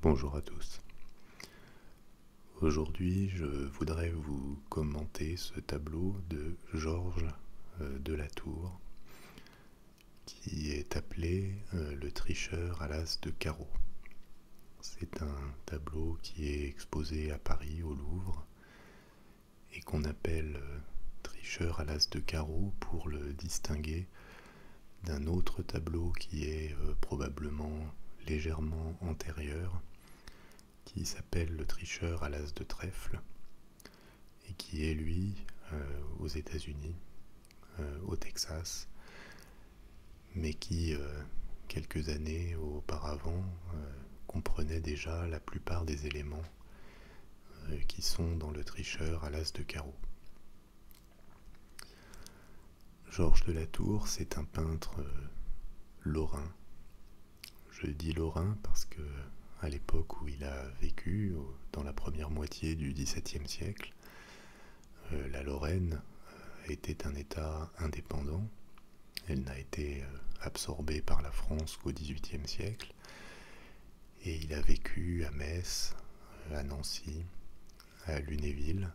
Bonjour à tous. Aujourd'hui, je voudrais vous commenter ce tableau de Georges euh, de la Tour qui est appelé euh, Le tricheur à l'as de carreau. C'est un tableau qui est exposé à Paris au Louvre et qu'on appelle euh, tricheur à l'as de carreau pour le distinguer d'un autre tableau qui est euh, probablement légèrement antérieur, qui s'appelle Le tricheur à l'as de trèfle, et qui est lui euh, aux États-Unis, euh, au Texas, mais qui, quelques années auparavant, comprenait déjà la plupart des éléments qui sont dans le tricheur à l'as de carreau. Georges de la Tour, c'est un peintre euh, lorrain. Je dis lorrain parce que à l'époque où il a vécu, dans la première moitié du XVIIe siècle, euh, la Lorraine euh, était un État indépendant. Elle n'a été absorbée par la France qu'au XVIIIe siècle. Et il a vécu à Metz, à Nancy, à Lunéville,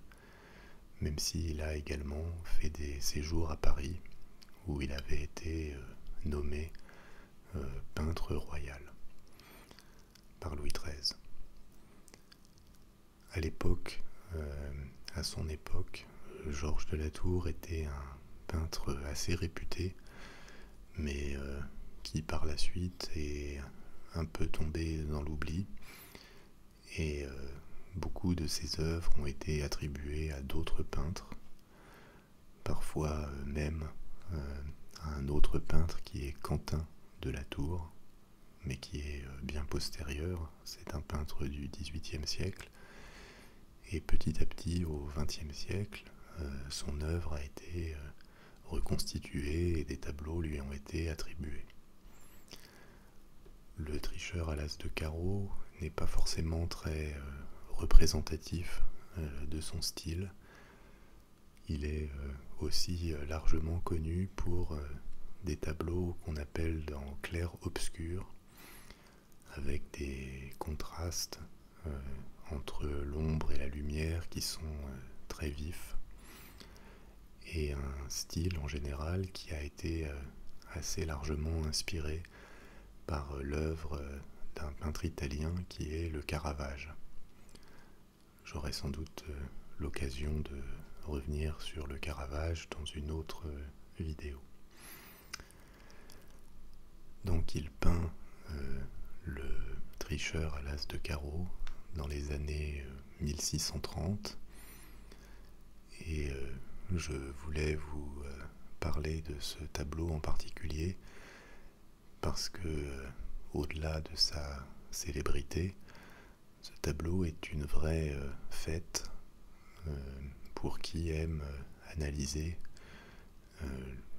même s'il a également fait des séjours à Paris, où il avait été euh, nommé euh, peintre royal par Louis XIII. À l'époque, euh, à son époque, Georges de la Tour était un peintre assez réputé mais euh, qui par la suite est un peu tombé dans l'oubli. Et euh, beaucoup de ses œuvres ont été attribuées à d'autres peintres, parfois euh, même à un autre peintre qui est Quentin de la Tour, mais qui est bien postérieur. C'est un peintre du XVIIIe siècle. Et petit à petit, au XXe siècle, son œuvre a été reconstitués et des tableaux lui ont été attribués. Le tricheur à l'as de carreau n'est pas forcément très euh, représentatif euh, de son style. Il est euh, aussi largement connu pour des tableaux qu'on appelle dans clair-obscur, avec des contrastes euh, entre l'ombre et la lumière qui sont euh, très vifs et un style en général qui a été euh, assez largement inspiré par l'œuvre d'un peintre italien qui est le Caravage. J'aurai sans doute l'occasion de revenir sur le Caravage dans une autre vidéo. Donc il peint euh, le tricheur à l'as de carreau dans les années 1630. Euh, Et euh, je voulais vous parler de ce tableau en particulier parce que, au-delà de sa célébrité, ce tableau est une vraie fête pour qui aime analyser euh,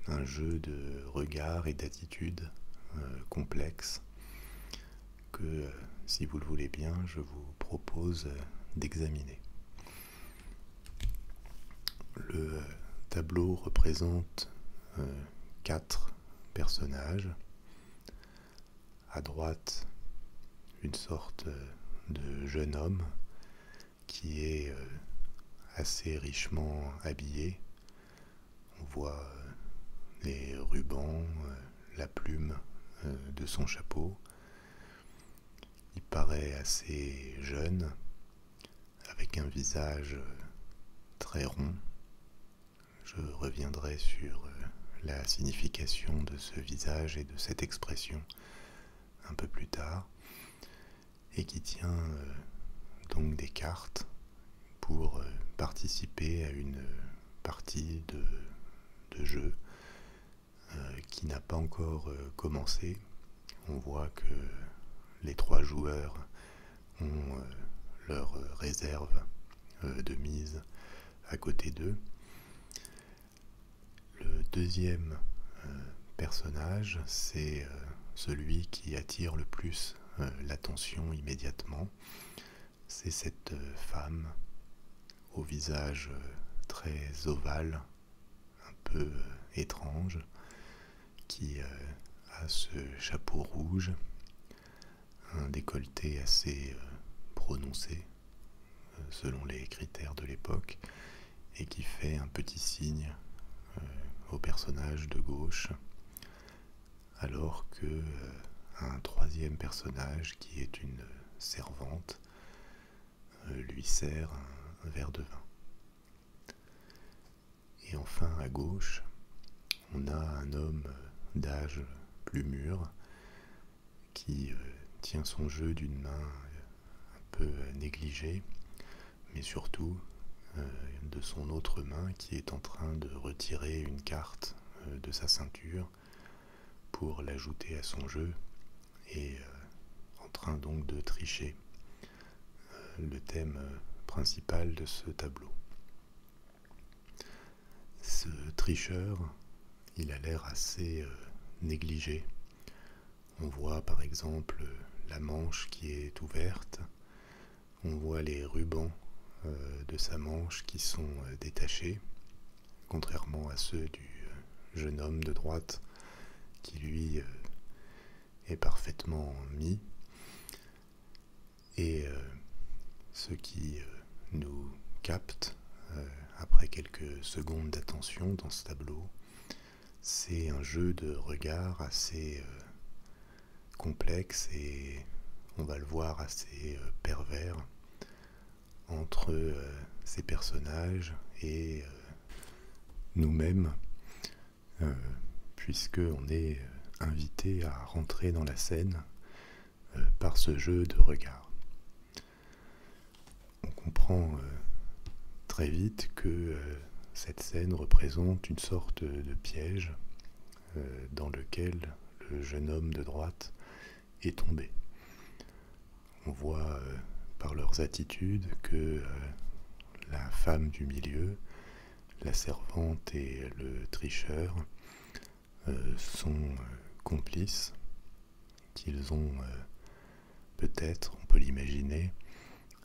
un jeu de regards et d'attitudes euh, complexes que, euh, si vous le voulez bien, je vous propose d'examiner. Le tableau représente quatre personnages. À droite, une sorte de jeune homme qui est euh, assez richement habillé. On voit euh, les rubans, euh, la plume de son chapeau. Il paraît assez jeune, avec un visage très rond. Je reviendrai sur la signification de ce visage et de cette expression un peu plus tard, et qui tient euh, donc des cartes pour euh, participer à une euh, partie de, jeu qui n'a pas encore commencé. On voit que les trois joueurs ont leur réserve de mise à côté d'eux. Le deuxième euh, personnage, c'est euh, celui qui attire le plus euh, l'attention immédiatement. C'est cette femme au visage très ovale, un peu étrange, qui a ce chapeau rouge, un décolleté assez prononcé selon les critères de l'époque, et qui fait un petit signe euh, au personnage de gauche, alors que euh, un troisième personnage qui est une servante euh, lui sert un, verre de vin. Et enfin à gauche, on a un homme d'âge plus mûr qui tient son jeu d'une main un peu euh, négligé, mais surtout euh, de son autre main qui est en train de retirer une carte euh, de sa ceinture pour l'ajouter à son jeu et en train donc de tricher le thème principal de ce tableau. Ce tricheur, il a l'air assez négligé on voit par exemple la manche qui est ouverte, on voit les rubans euh, de sa manche qui sont euh, détachés, contrairement à ceux du euh, jeune homme de droite qui lui est parfaitement mis. Et ce qui nous capte après quelques secondes d'attention dans ce tableau, c'est un jeu de regard assez euh, complexe et on va le voir assez euh, pervers entre euh, ces personnages et nous-mêmes, puisque est invité à rentrer dans la scène par ce jeu de regard. On comprend euh, très vite que euh, cette scène représente une sorte de piège euh, dans lequel le jeune homme de droite est tombé. On voit par leurs attitudes que la femme du milieu, la servante et le tricheur sont complices qu'ils ont euh, peut-être, on peut l'imaginer,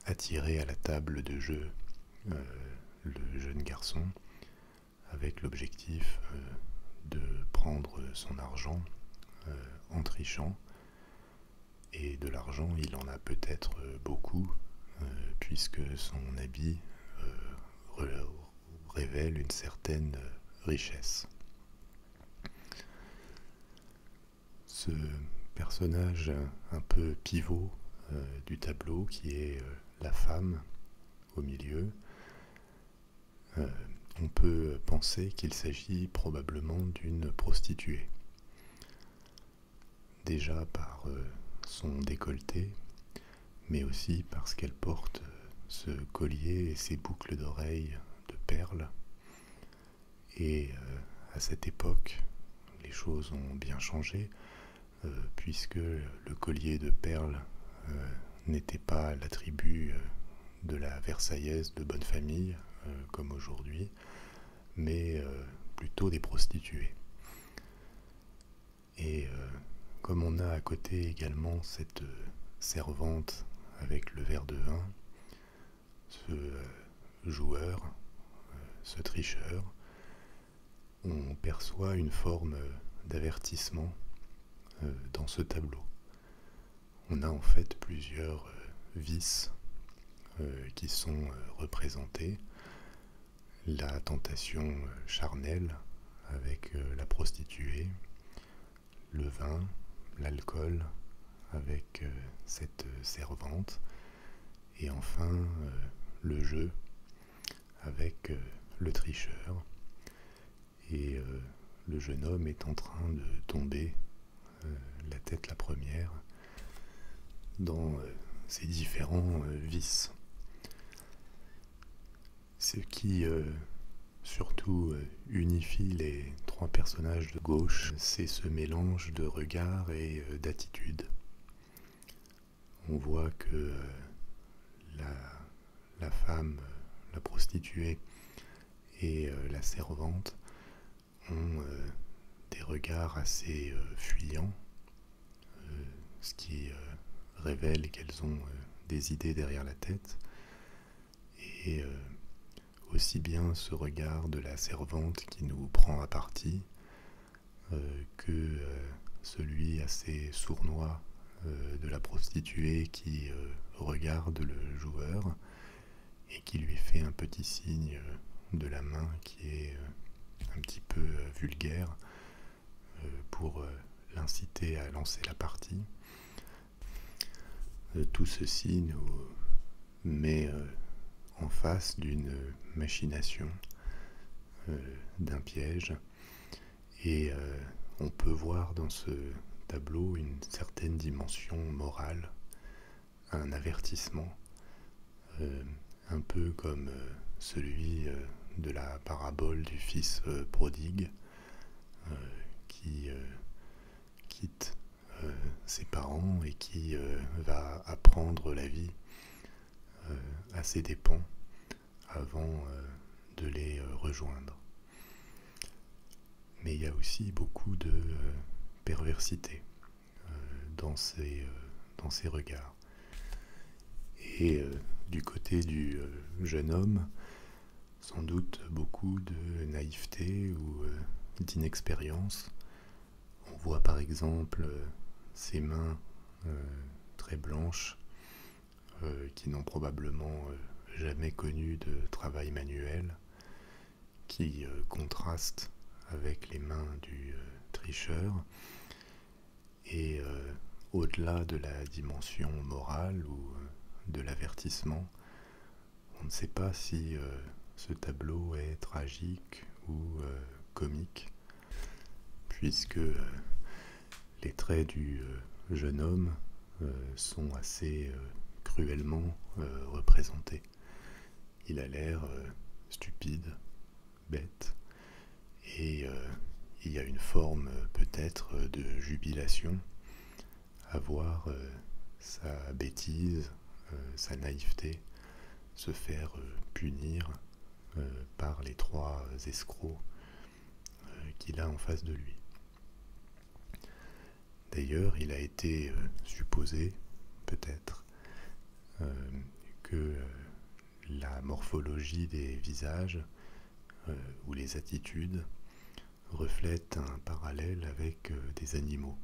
attiré à la table de jeu euh, le jeune garçon avec l'objectif euh, de prendre son argent en trichant. Et de l'argent, il en a peut-être beaucoup, puisque son habit révèle une certaine richesse. Ce personnage un peu pivot euh, du tableau qui est euh, la femme au milieu, euh, on peut penser qu'il s'agit probablement d'une prostituée. Déjà par son décolleté, mais aussi parce qu'elle porte ce collier et ces boucles d'oreilles de perles. Et euh, à cette époque, les choses ont bien changé, euh, puisque le collier de perles euh, n'était pas l'attribut de la Versaillaise de bonne famille, comme aujourd'hui, mais plutôt des prostituées. Et comme on a à côté également cette servante avec le verre de vin, ce euh, joueur, euh, ce tricheur, on perçoit une forme euh, d'avertissement dans ce tableau. On a en fait plusieurs vices qui sont représentés. La tentation charnelle avec la prostituée, le vin, l'alcool, avec euh, cette euh, servante, et enfin euh, le jeu, avec le tricheur, et le jeune homme est en train de tomber, la tête la première, dans ses différents vices. Ce qui euh, surtout euh, unifie les trois personnages de gauche, c'est ce mélange de regards et euh, d'attitude. On voit que la, femme, la prostituée et la servante ont des regards assez fuyants, ce qui révèle qu'elles ont des idées derrière la tête et euh, aussi bien ce regard de la servante qui nous prend à partie euh, que euh, celui assez sournois de la prostituée qui regarde le joueur et qui lui fait un petit signe de la main qui est un petit peu vulgaire euh, pour euh, l'inciter à lancer la partie. Euh, tout ceci nous met en face d'une machination, d'un piège, et on peut voir dans ce tableau une certaine dimension morale, un avertissement, un peu comme celui de la parabole du fils prodigue, euh, qui euh, quitte euh, ses parents et qui va apprendre la vie à ses dépens avant de les rejoindre. Mais il y a aussi beaucoup de perversité dans ses regards. Et du côté du jeune homme, sans doute beaucoup de naïveté ou euh, d'inexpérience. On voit par exemple euh, ses mains euh, très blanches qui n'ont probablement jamais connu de travail manuel, qui contraste contrastent avec les mains du tricheur et euh, au-delà de la dimension morale ou euh, de l'avertissement, on ne sait pas si euh, ce tableau est tragique ou comique, puisque les traits du jeune homme sont assez cruellement représentés. Il a l'air stupide, bête, et euh, il y a une forme euh, peut-être euh, de jubilation à voir sa bêtise, sa naïveté se faire punir par les trois escrocs qu'il a en face de lui. D'ailleurs, il a été supposé, peut-être, que la morphologie des visages euh, ou les attitudes reflète un parallèle avec euh, des animaux.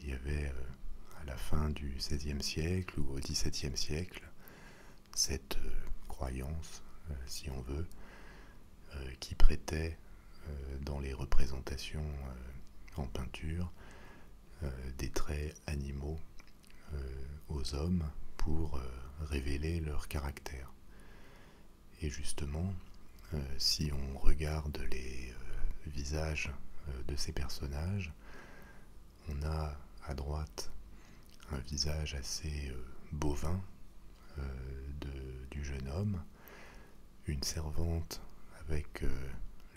Il y avait euh, à la fin du XVIe siècle ou au XVIIe siècle cette croyance, si on veut, qui prêtait dans les représentations en peinture des traits animaux euh, aux hommes pour euh, révéler leur caractère. Et justement, euh, si on regarde les visages de ces personnages, on a à droite un visage assez bovin du jeune homme, une servante avec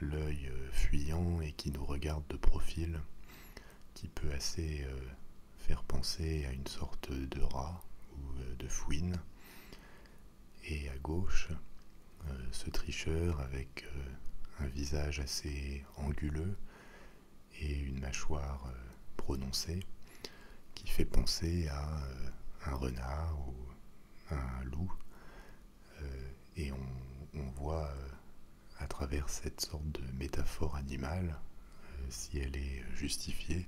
l'œil fuyant et qui nous regarde de profil qui peut assez euh, faire penser à une sorte de rat ou euh, de fouine. Et à gauche, euh, ce tricheur avec un visage assez anguleux et une mâchoire prononcée qui fait penser à un renard ou un loup et on, voit euh, à travers cette sorte de métaphore animale, euh, si elle est justifiée,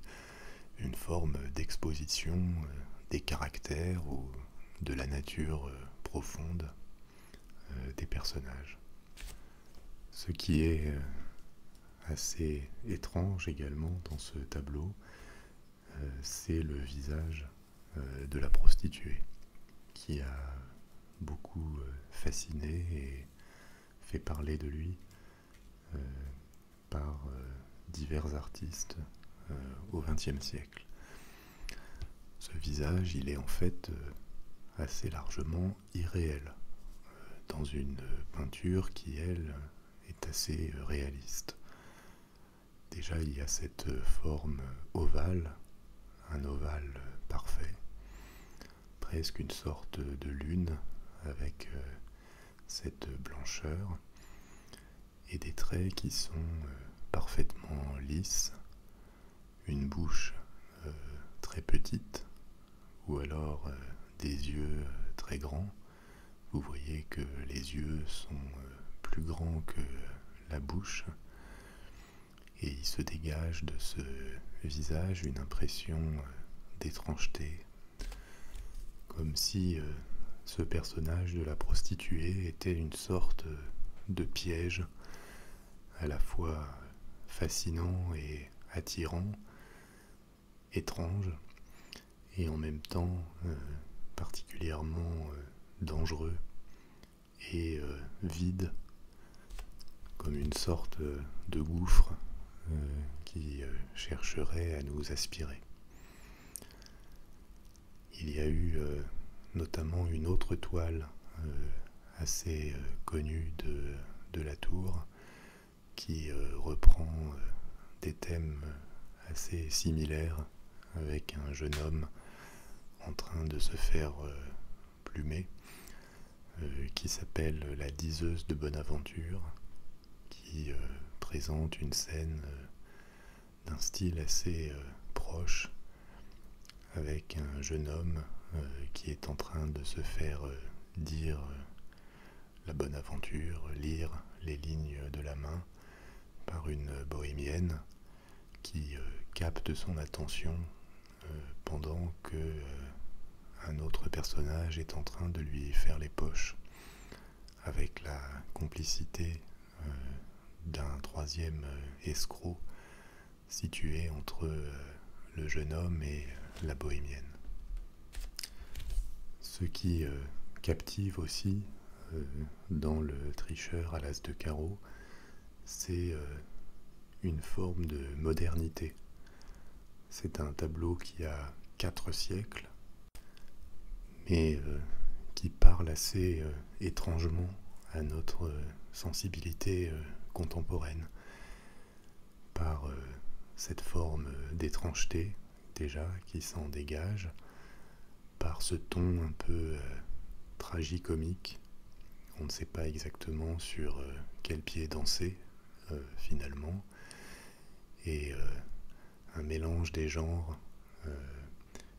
une forme d'exposition euh, des caractères ou de la nature profonde des personnages. Ce qui est assez étrange également dans ce tableau, c'est le visage de la prostituée qui a beaucoup euh, fasciné et fait parler de lui euh, par euh, divers artistes au XXe siècle. Ce visage, il est en fait assez largement irréel dans une peinture qui, elle, est assez réaliste. Déjà, il y a cette forme ovale un ovale parfait, presque une sorte de lune avec euh, cette blancheur et des traits qui sont euh, parfaitement lisses, une bouche euh, très petite ou alors des yeux très grands. Vous voyez que les yeux sont plus grands que la bouche et il se dégage de ce visage une impression euh, d'étrangeté, comme si euh, ce personnage de la prostituée était une sorte euh, de piège à la fois fascinant et attirant, étrange, et en même temps particulièrement dangereux et euh, vide, comme une sorte euh, de gouffre euh, qui chercherait à nous aspirer. Il y a eu notamment une autre toile assez connue de, la tour qui reprend des thèmes assez similaires avec un jeune homme en train de se faire euh, plumer, euh, qui s'appelle La diseuse de Bonaventure, qui euh, présente une scène d'un style assez proche, avec un jeune homme qui est en train de se faire dire la bonne aventure, lire les lignes de la main par une bohémienne qui euh, capte son attention euh, pendant que euh, un autre personnage est en train de lui faire les poches avec la complicité d'un troisième escroc situé entre le jeune homme et la bohémienne. Ce qui captive aussi euh, dans le tricheur à l'as de carreau, c'est euh, une forme de modernité. C'est un tableau qui a quatre siècles, mais euh, qui parle assez étrangement à notre sensibilité contemporaine par cette forme d'étrangeté déjà qui s'en dégage par ce ton un peu euh, tragi-comique On ne sait pas exactement sur euh, quel pied danser euh, finalement. Et un mélange des genres,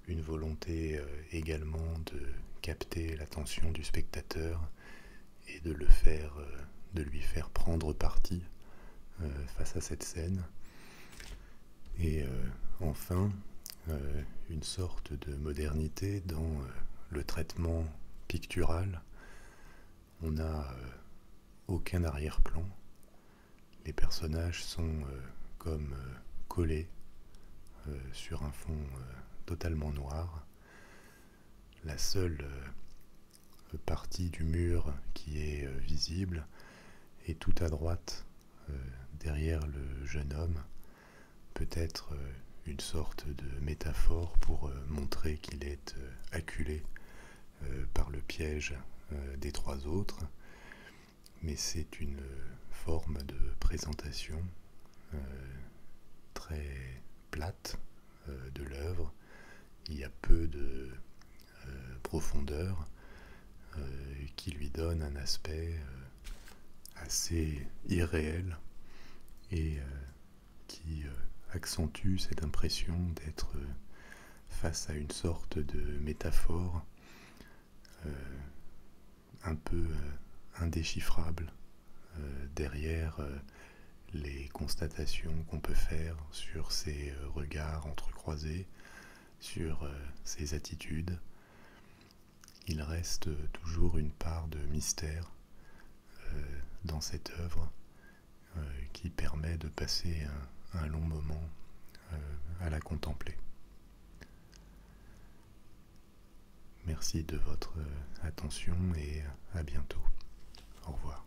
une volonté également de capter l'attention du spectateur et de le faire, de lui faire prendre parti face à cette scène. Et enfin, euh, une sorte de modernité dans euh, le traitement pictural. On n'a euh, aucun arrière-plan. Les personnages sont comme collés sur un fond totalement noir. La seule partie du mur qui est visible est tout à droite euh, derrière le jeune homme, peut-être euh, une sorte de métaphore pour euh, montrer qu'il est acculé par le piège des trois autres, mais c'est une forme de présentation très plate de l'œuvre. Il y a peu de euh, profondeur euh, qui lui donne un aspect euh, assez irréel et qui accentue cette impression d'être face à une sorte de métaphore un peu indéchiffrable derrière les constatations qu'on peut faire sur ces regards entrecroisés, sur euh, ses attitudes. Il reste toujours une part de mystère euh, dans cette œuvre euh, qui permet de passer un, long moment à la contempler. Merci de votre attention et à bientôt. Au revoir.